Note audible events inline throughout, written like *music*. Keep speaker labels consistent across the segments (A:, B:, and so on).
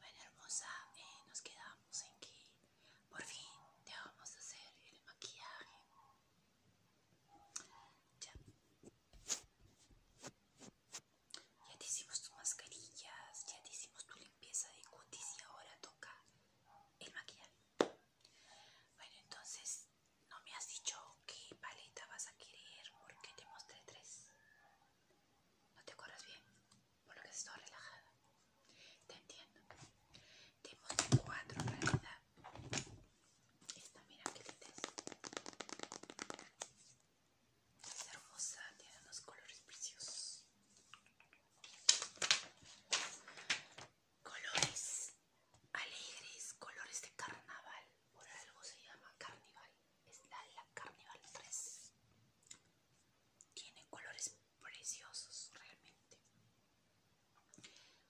A: Bueno hermosa, eh, nos quedamos en que por fin te vamos a hacer el maquillaje. Ya. Ya te hicimos tus mascarillas, ya te hicimos tu limpieza de cutis y ahora toca el maquillaje. Bueno, entonces no me has dicho qué paleta vas a querer porque te mostré tres. No te acuerdas bien, por lo que estás relajada. Te entiendo. Tenemos cuatro en realidad. Esta, mira que linda Es hermosa, tiene unos colores preciosos. Colores alegres, colores de carnaval. Por algo se llama carnaval es la de la 3. Tiene colores preciosos realmente.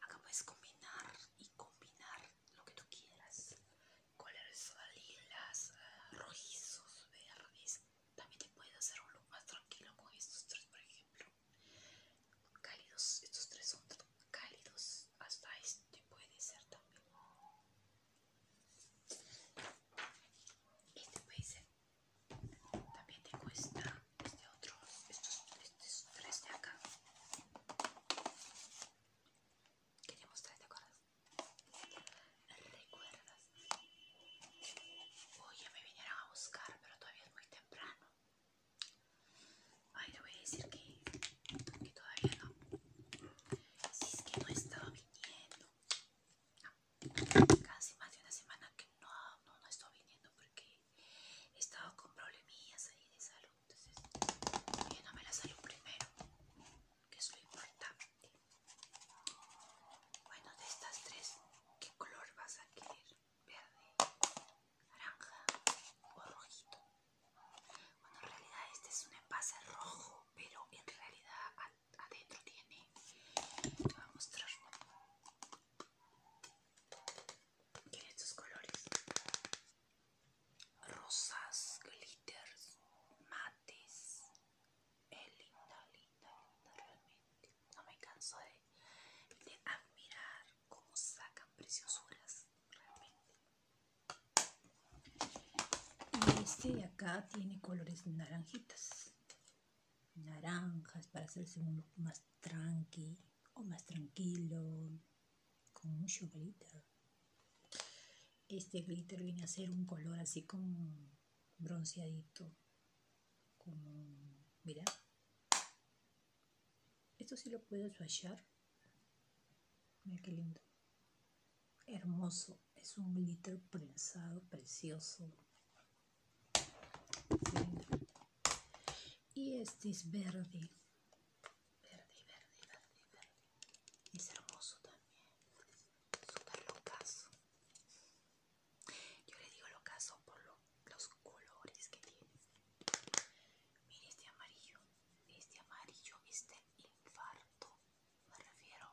A: Acá puedes combinar y combinar lo que tú quieras. Colores lilas, eh, rojizos, verdes. También te puedes hacer un look más tranquilo con estos tres, por ejemplo. Cálidos, estos tres son cálidos. Hasta este puede ser también. Este paiser también te cuesta este otro, estos, tres de acá. Quería mostrarte, ¿te acuerdas? ¿Recuerdas? Oye, me vinieron a buscar, pero todavía es muy temprano. Ay, le voy a decir que que todavía no. Si es que no he estado viniendo. Casi más de una semana que no, no, he estado viniendo porque he estado con problemillas ahí de salud. Entonces, me la salud primero, que es lo importante. Bueno, de estas tres, ¿qué color vas a querer? ¿Verde, naranja o rojito? Bueno, en realidad este es un envase rojo, pero en realidad adentro tiene... Te voy a mostrar estos colores rosas, glitters, mates es linda, linda, linda realmente no me canso de, de admirar cómo sacan preciosuras realmente
B: y este de acá tiene colores naranjitas. Naranjas para hacerse un look más tranqui o más tranquilo. Con mucho glitter. Este glitter viene a ser un color así como bronceadito. Como, mira, esto sí lo puedo hallar, Mira qué lindo. Hermoso. Es un glitter prensado, precioso. Y este es verde. Verde,
A: verde, verde, verde. Es hermoso también. Súper locazo. Yo le digo locaso por los colores que tiene. Mire este amarillo. Este amarillo, este infarto, me refiero,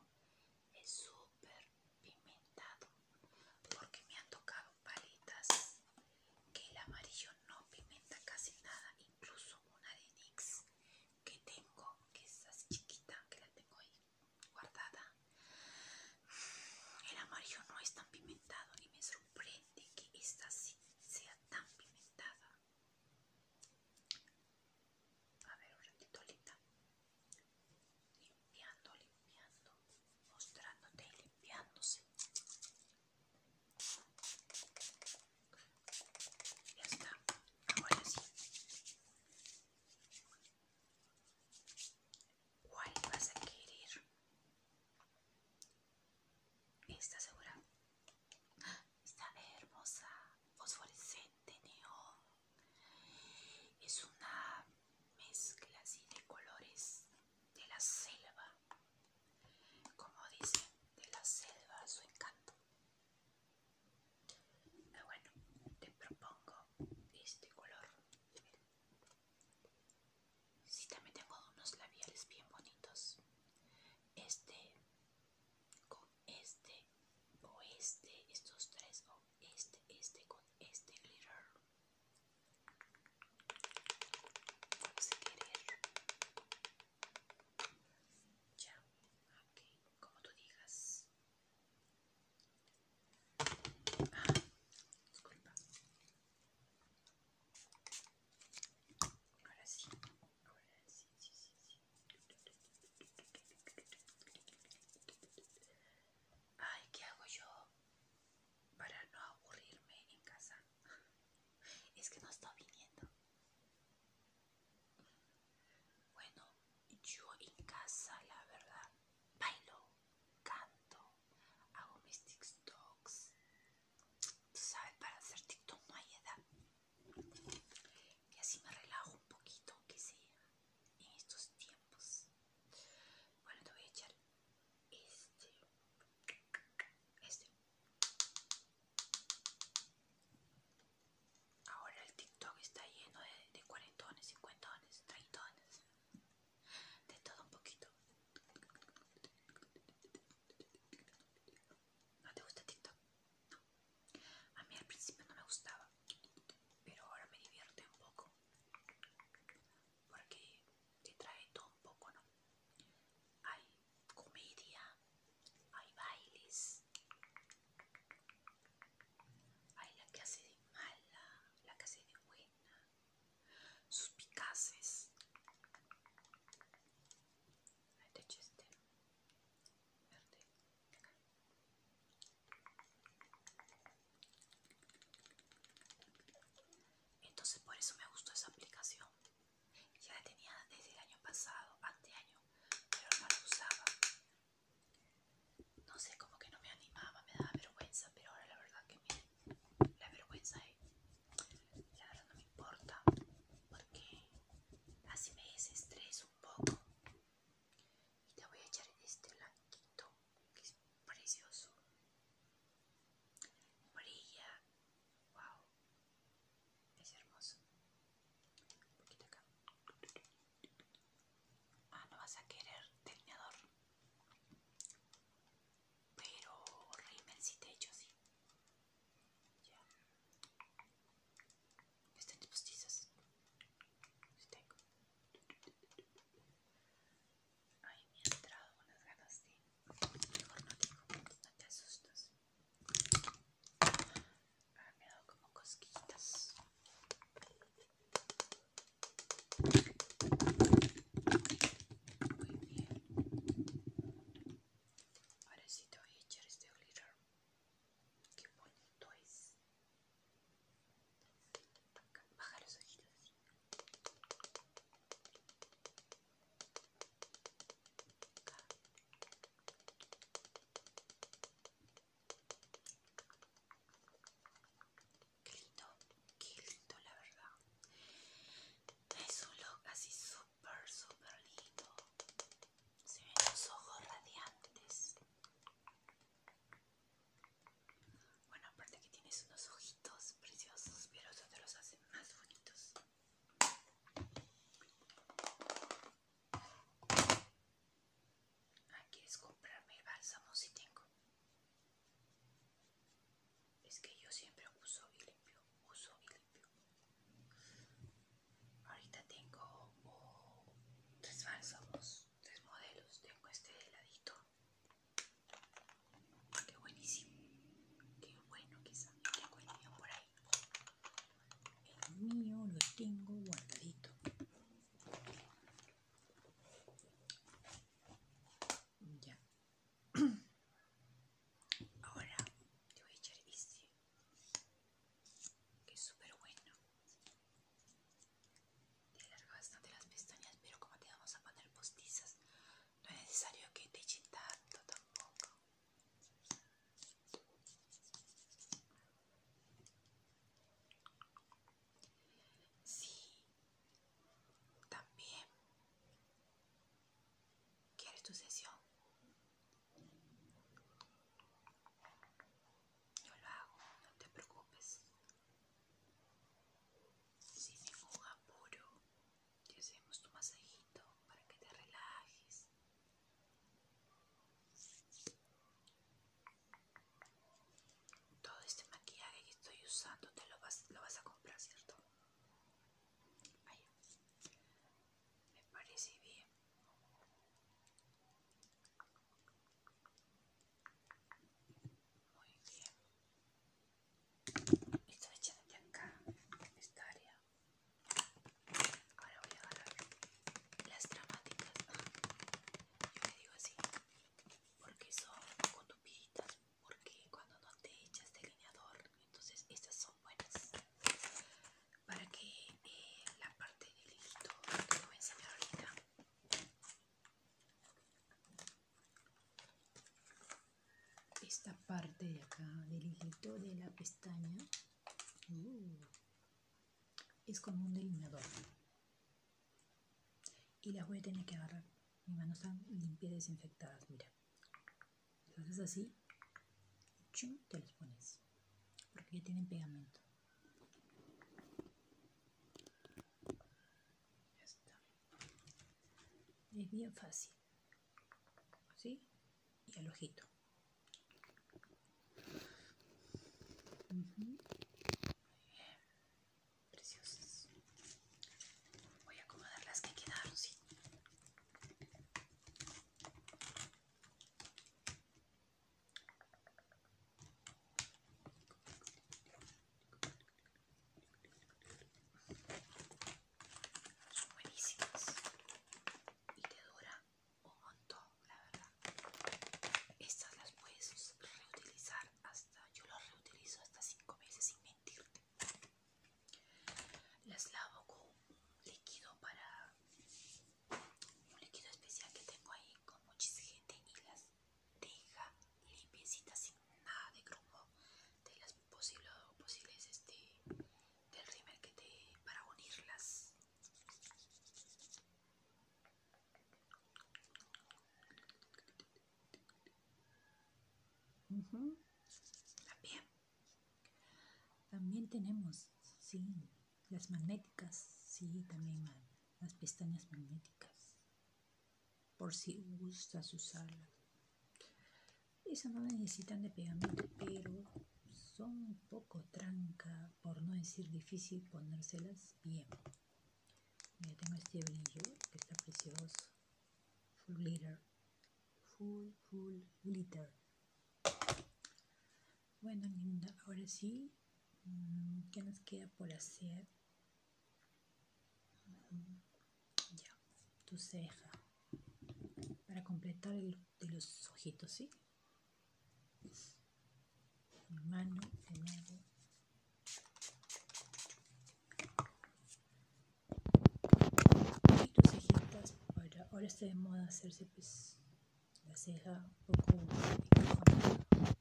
A: es súper pimentado. Porque me han tocado palitas que el amarillo no pimenta casi nada. Incluso una de Nix que tengo, que es así chiquita, que la tengo ahí guardada. El amarillo no es tan pimentado y me sorprende que está así sea tan pimentada. A ver un ratito, Limpiando, limpiando, mostrándote y limpiándose. Ya está, ahora sí. ¿Cuál vas a querer? Está segura. Está hermosa, fosforescente, neón. Es una mezcla así de colores de la selva. Como dicen, de la selva su encanto. Ah, bueno, te propongo este color. Si, también tengo unos labiales bien bonitos. Este con este o este, estos tres o este, este con este glitter. Ya, como tú digas disculpa. Ahora sí. sí, sí, sí, Ay, ¿qué hago yo para no aburrirme en casa? Es que no está viniendo. Bueno, yo en casa, la verdad, bailo canto, hago mis TikToks. sabes, para hacer TikTok no hay edad. Y así me relajo un poquito, aunque sea, en estos tiempos. Bueno, te voy a echar este. Este. Ahora el TikTok está lleno de, de cuarentones, cincuentones, treintones de todo un poquito. ¿No te gusta TikTok? No. A mí al principio no me gustaba, pero ahora me divierte un poco. Porque te trae todo un poco, ¿no? Hay comedia, hay bailes, hay la que hace de mala, la que hace de buena, suspicaces. Este Entonces por eso me gustó esa aplicación. Ya la tenía desde el año pasado, año pero no la usaba. No sé, como que no me animaba, me daba vergüenza, pero ahora la verdad que la vergüenza es, la verdad no me importa, porque así me desestreso un poco. Y te voy a echar este blanquito, que es precioso. Brilla, wow, es hermoso. Un poquito acá. Ah, no vas a querer delineador. Pero rímel si te echo ¿sí? Ya. tus postizas. Si tengo. Ay, me he entrado unas ganas de... Mejor no te digo, pues, no te asustas. Ah, me ha dado como cosquillitas. Ahora sí te voy a echar este glitter. que bonito es. Baja los ojitos así. Acá. Qué lindo, qué lindo la verdad. Es un look así súper, súper lindo. Se ven los ojos radiantes. Bueno, aparte que tienes unos ojitos preciosos, pero eso te los hace más bonitos. Ah, ¿quieres comprarme el bálsamo si tengo? Es que yo siempre uso y limpio, uso y limpio. Ahorita tengo oh, tres bálsamos, tres modelos. Tengo este de heladito. Qué buenísimo.
B: Qué bueno que Tengo el por ahí. El mío lo tengo guardadito. Ya. *clears throat*
A: Ahora te voy a echar este. Que es súper bueno. Te alarga bastante las pestañas, pero como te vamos a poner postizas, no es necesario que te eche tanto tampoco. Sí, también. ¿Quieres tu sesión? Yo lo hago, no te preocupes. Sin ningún apuro, te hacemos tu masajito para que te relajes todo este maquillaje que estoy usando te lo vas, lo vas a comprar, ¿cierto? Me parece bien. Muy bien. Estoy echando de acá, esta área. Ahora voy a agarrar las dramáticas. Yo me digo así,
B: porque son tupitas porque cuando no te echas delineador, entonces estas son buenas. Para que eh, la parte del hilito que voy a enseñar ahorita esta parte de acá del hilito de la pestaña uh, es como un delineador y la voy a tener que agarrar mis manos están limpias desinfectadas mira entonces así te los pones porque ya tienen pegamento es bien fácil así y el ojito Preciosas.
A: Voy a acomodar las que quedaron, sí son buenísimas y te dura un montón, la verdad. Estas las puedes reutilizar hasta, yo las reutilizo hasta 5 meses sin mentirte. Las lavo con un líquido para un líquido especial que tengo ahí con mucha gente y las deja limpiecitas sin nada de grumo de las posibles, posibles este, del rímel que te para unirlas.
B: También. También tenemos, sí, las magnéticas, sí, también las pestañas magnéticas por si gustas usarlas Esas no necesitan de pegamento, pero son un poco tranca, por no decir difícil ponérselas bien. Ya tengo este brillo que está precioso. Full glitter. Full, full glitter. Bueno, linda, ahora sí, mm, ¿qué nos queda por hacer? Ya, tu ceja. Para completar de los ojitos, ¿sí? mano de nuevo. Y tus cejitas. Para, ahora está de moda hacerse pues la ceja un poco